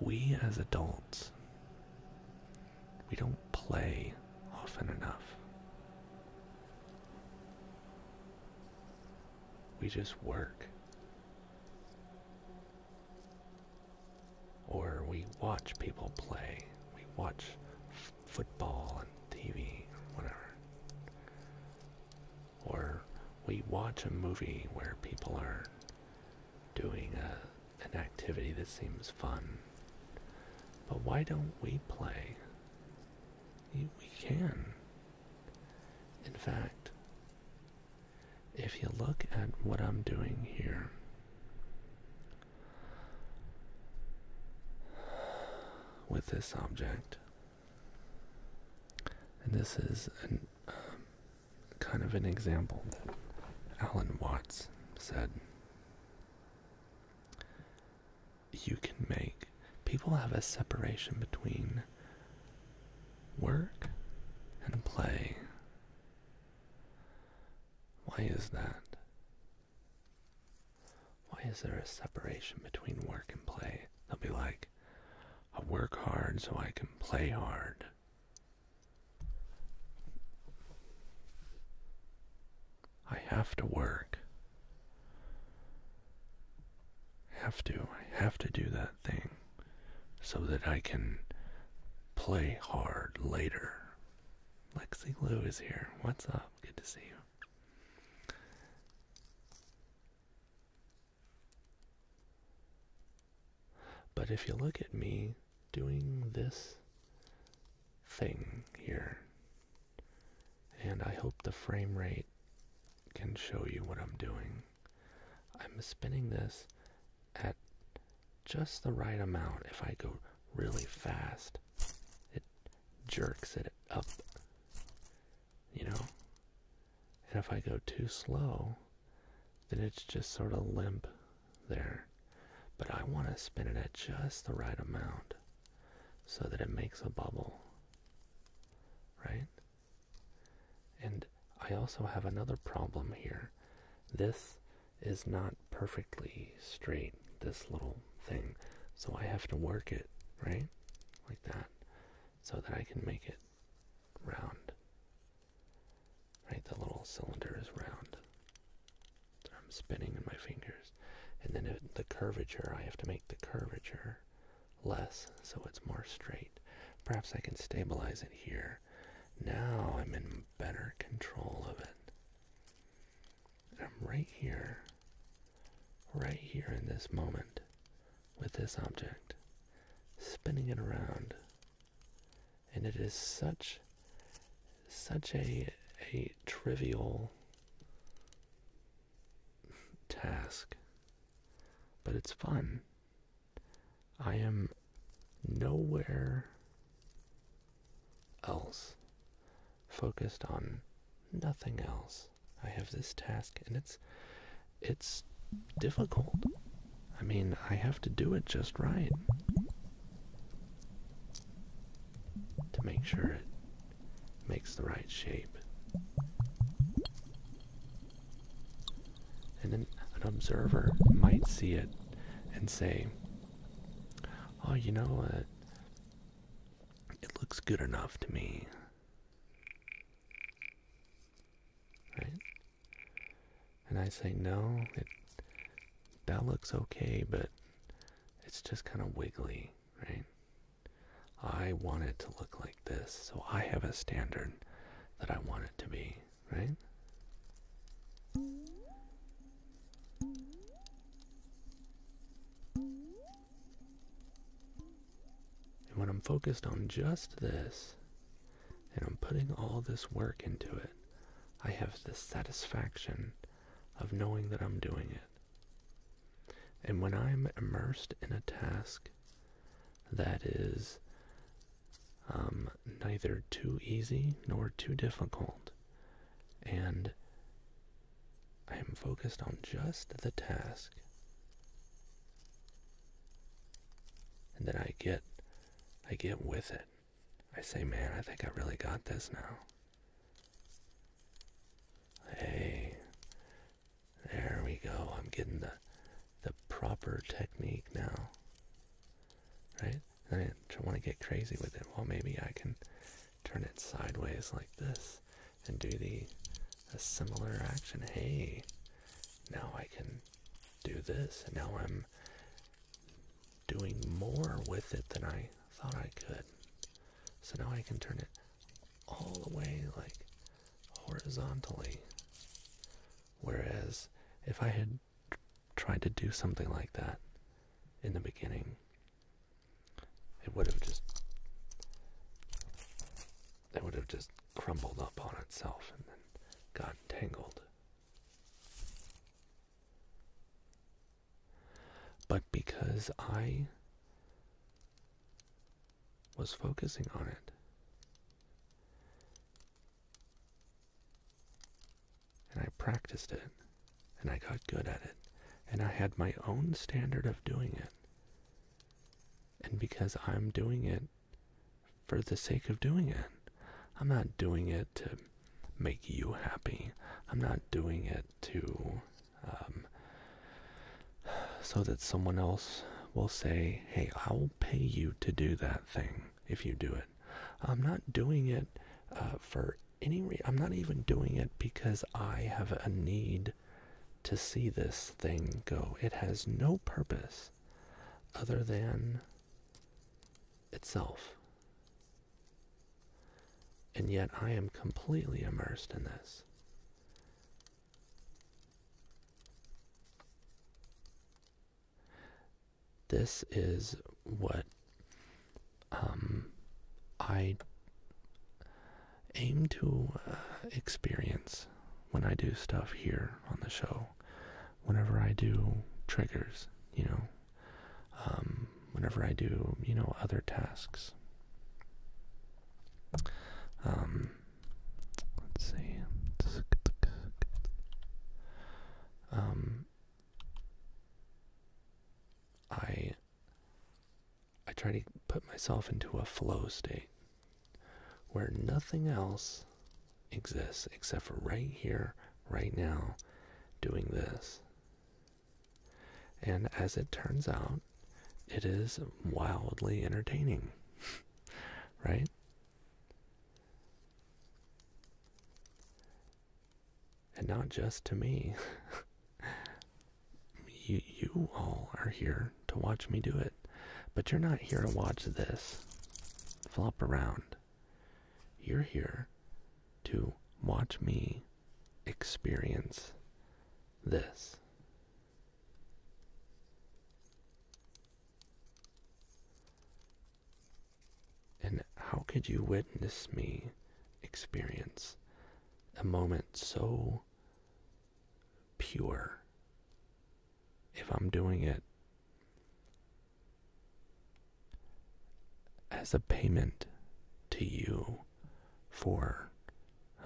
We as adults, we don't play often enough. We just work. Or we watch people play. We watch football and TV, whatever. Or we watch a movie where people are doing a, an activity that seems fun. But why don't we play? We can. In fact, if you look at what I'm doing here, with this object, and this is an, um, kind of an example that Alan Watts said you can make people have a separation between work and play. Why is that? Why is there a separation between work and play? They'll be like, I work hard so I can play hard. I have to work. Have to. I have to do that thing so that I can play hard later. Lexi Lou is here. What's up? Good to see you. But if you look at me doing this thing here, and I hope the frame rate can show you what I'm doing, I'm spinning this at just the right amount. If I go really fast, it jerks it up you know? And if I go too slow, then it's just sort of limp there. But I want to spin it at just the right amount so that it makes a bubble, right? And I also have another problem here. This is not perfectly straight, this little thing. So I have to work it, right? Like that, so that I can make it round. Right, the little cylinder is round. I'm spinning in my fingers. And then the curvature, I have to make the curvature less so it's more straight. Perhaps I can stabilize it here. Now I'm in better control of it. I'm right here, right here in this moment with this object, spinning it around. And it is such such a a trivial task, but it's fun. I am nowhere else focused on nothing else I have this task, and it's it's difficult. I mean, I have to do it just right to make sure it makes the right shape. And then an observer might see it and say, "Oh, you know what? It looks good enough to me." Right? And I say, no, it, that looks okay, but it's just kind of wiggly, right? I want it to look like this, so I have a standard that I want it to be, right? And when I'm focused on just this, and I'm putting all this work into it, I have the satisfaction of knowing that I'm doing it. And when I'm immersed in a task that is um, neither too easy nor too difficult, and I am focused on just the task, and then I get, I get with it. I say, man, I think I really got this now. Hey, there we go. I'm getting the the proper technique now, right? I don't want to get crazy with it. Well, maybe I can turn it sideways like this and do the a similar action. Hey, now I can do this, and now I'm doing more with it than I thought I could. So now I can turn it all the way like horizontally. Whereas if I had tried to do something like that in the beginning, it would have just it would have just crumbled up on itself and then gotten tangled. But because I was focusing on it, and I practiced it, and I got good at it, and I had my own standard of doing it, and because I'm doing it for the sake of doing it, I'm not doing it to make you happy. I'm not doing it to, um, so that someone else will say, hey, I'll pay you to do that thing if you do it. I'm not doing it uh, for any reason. I'm not even doing it because I have a need to see this thing go. It has no purpose other than itself. And yet I am completely immersed in this. This is what um, I aim to uh, experience when I do stuff here on the show, whenever I do triggers, you know, um, whenever I do, you know, other tasks. Um, let's see. Um, I I try to put myself into a flow state where nothing else exists except for right here, right now, doing this. And as it turns out, it is wildly entertaining, right? and not just to me. you, you all are here to watch me do it, but you're not here to watch this flop around. You're here to watch me experience this. And how could you witness me experience a moment so pure if I'm doing it as a payment to you for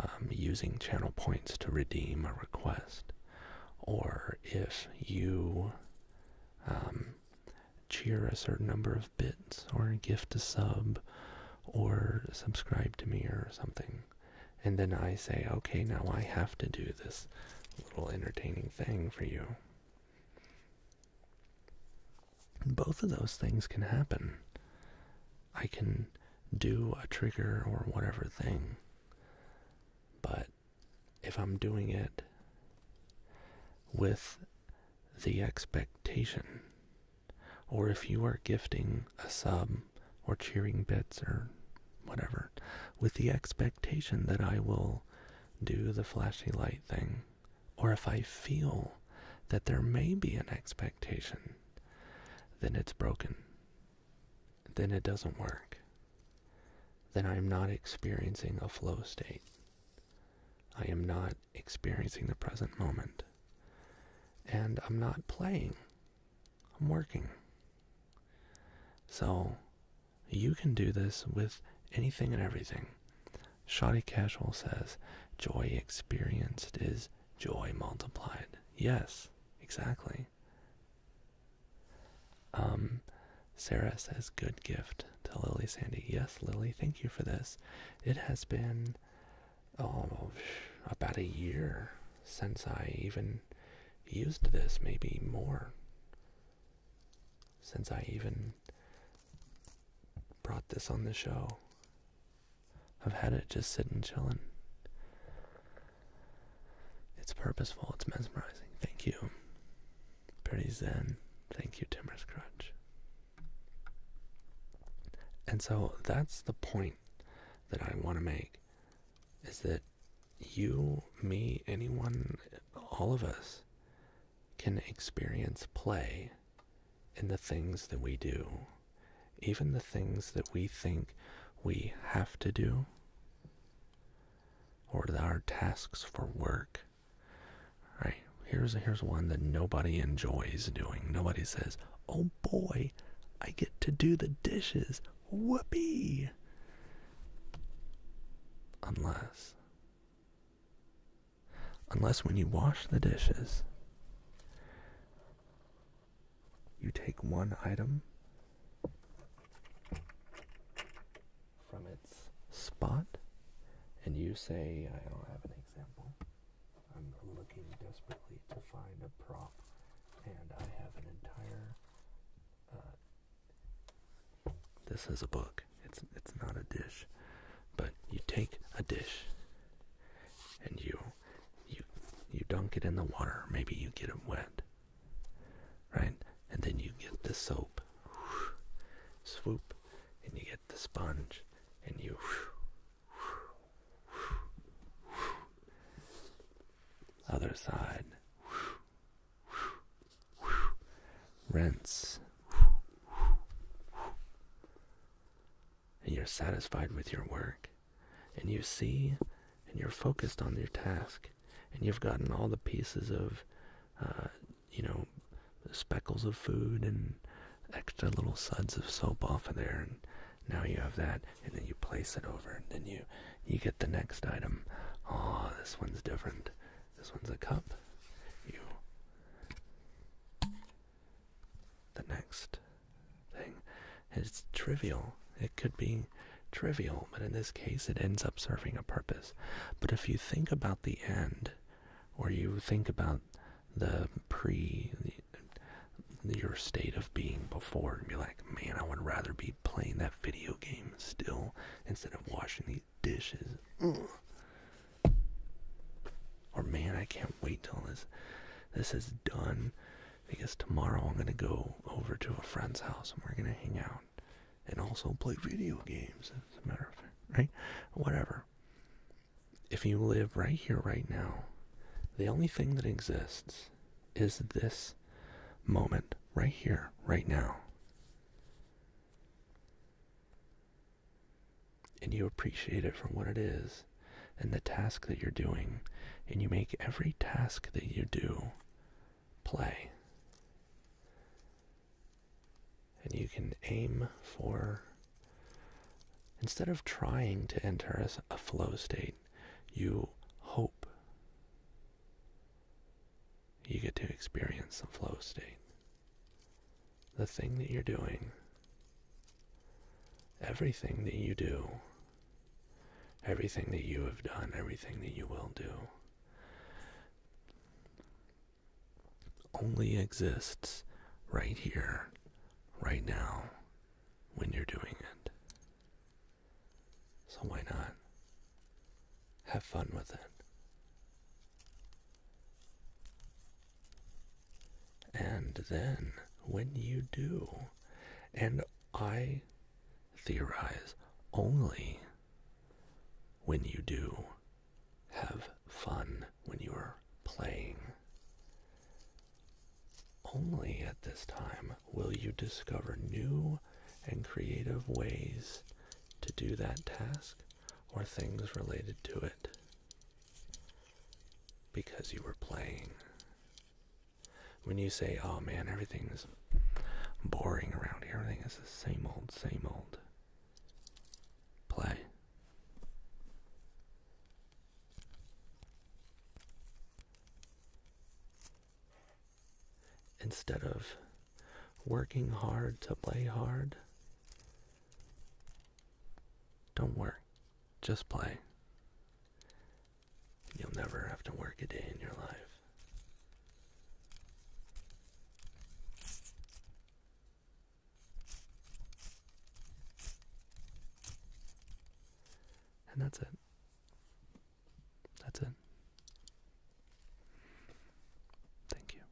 um, using channel points to redeem a request, or if you um, cheer a certain number of bits or gift a sub or subscribe to me or something. And then I say, okay, now I have to do this little entertaining thing for you. Both of those things can happen. I can do a trigger or whatever thing, but if I'm doing it with the expectation. Or if you are gifting a sub or cheering bits or whatever, with the expectation that I will do the flashy light thing, or if I feel that there may be an expectation, then it's broken. Then it doesn't work. Then I'm not experiencing a flow state. I am not experiencing the present moment. And I'm not playing, I'm working. So you can do this with anything and everything. Shotty Casual says, joy experienced is joy multiplied. Yes, exactly. Um, Sarah says, good gift to Lily Sandy. Yes, Lily, thank you for this. It has been oh, about a year since I even used this, maybe more. Since I even brought this on the show, I've had it just sitting chilling. It's purposeful, it's mesmerizing. Thank you. Pretty zen. Thank you, Timorous Crutch. And so that's the point that I want to make is that you, me, anyone, all of us can experience play in the things that we do, even the things that we think we have to do or our tasks for work. Right? Here's here's one that nobody enjoys doing. Nobody says, "Oh boy, I get to do the dishes." Whoopee! Unless unless when you wash the dishes, you take one item from its spot, and you say, I don't have an example. I'm looking desperately to find a prop, and I have an entire. Uh, this is a book. It's it's not a dish, but you take a dish, and you you you dunk it in the water. Maybe you get it wet, right? And then you get the soap swoop, and you get the sponge, and you. Other side. Rinse. And you're satisfied with your work. And you see, and you're focused on your task. And you've gotten all the pieces of uh, you know, speckles of food and extra little suds of soap off of there, and now you have that, and then you place it over, and then you you get the next item. Oh, this one's different. This one's a cup. You. The next thing is trivial. It could be trivial, but in this case, it ends up serving a purpose. But if you think about the end, or you think about the pre, your state of being before, and be like, man, I would rather be playing that video game still instead of washing these dishes. Or man, I can't wait till this this is done because tomorrow I'm gonna go over to a friend's house and we're gonna hang out and also play video games, as a matter of fact, right? Whatever. If you live right here, right now, the only thing that exists is this moment, right here, right now. And you appreciate it for what it is and the task that you're doing, and you make every task that you do play. And you can aim for, instead of trying to enter a flow state, you hope you get to experience the flow state. The thing that you're doing, everything that you do, everything that you have done, everything that you will do only exists right here, right now, when you're doing it. So why not? Have fun with it. And then, when you do, and I theorize only when you do have fun when you are playing. Only at this time will you discover new and creative ways to do that task or things related to it because you were playing. When you say, oh man, everything's boring around here. Everything is the same old, same old. Play. Instead of working hard to play hard, don't work, just play. You'll never have to work a day in your life. And that's it. That's it. Thank you.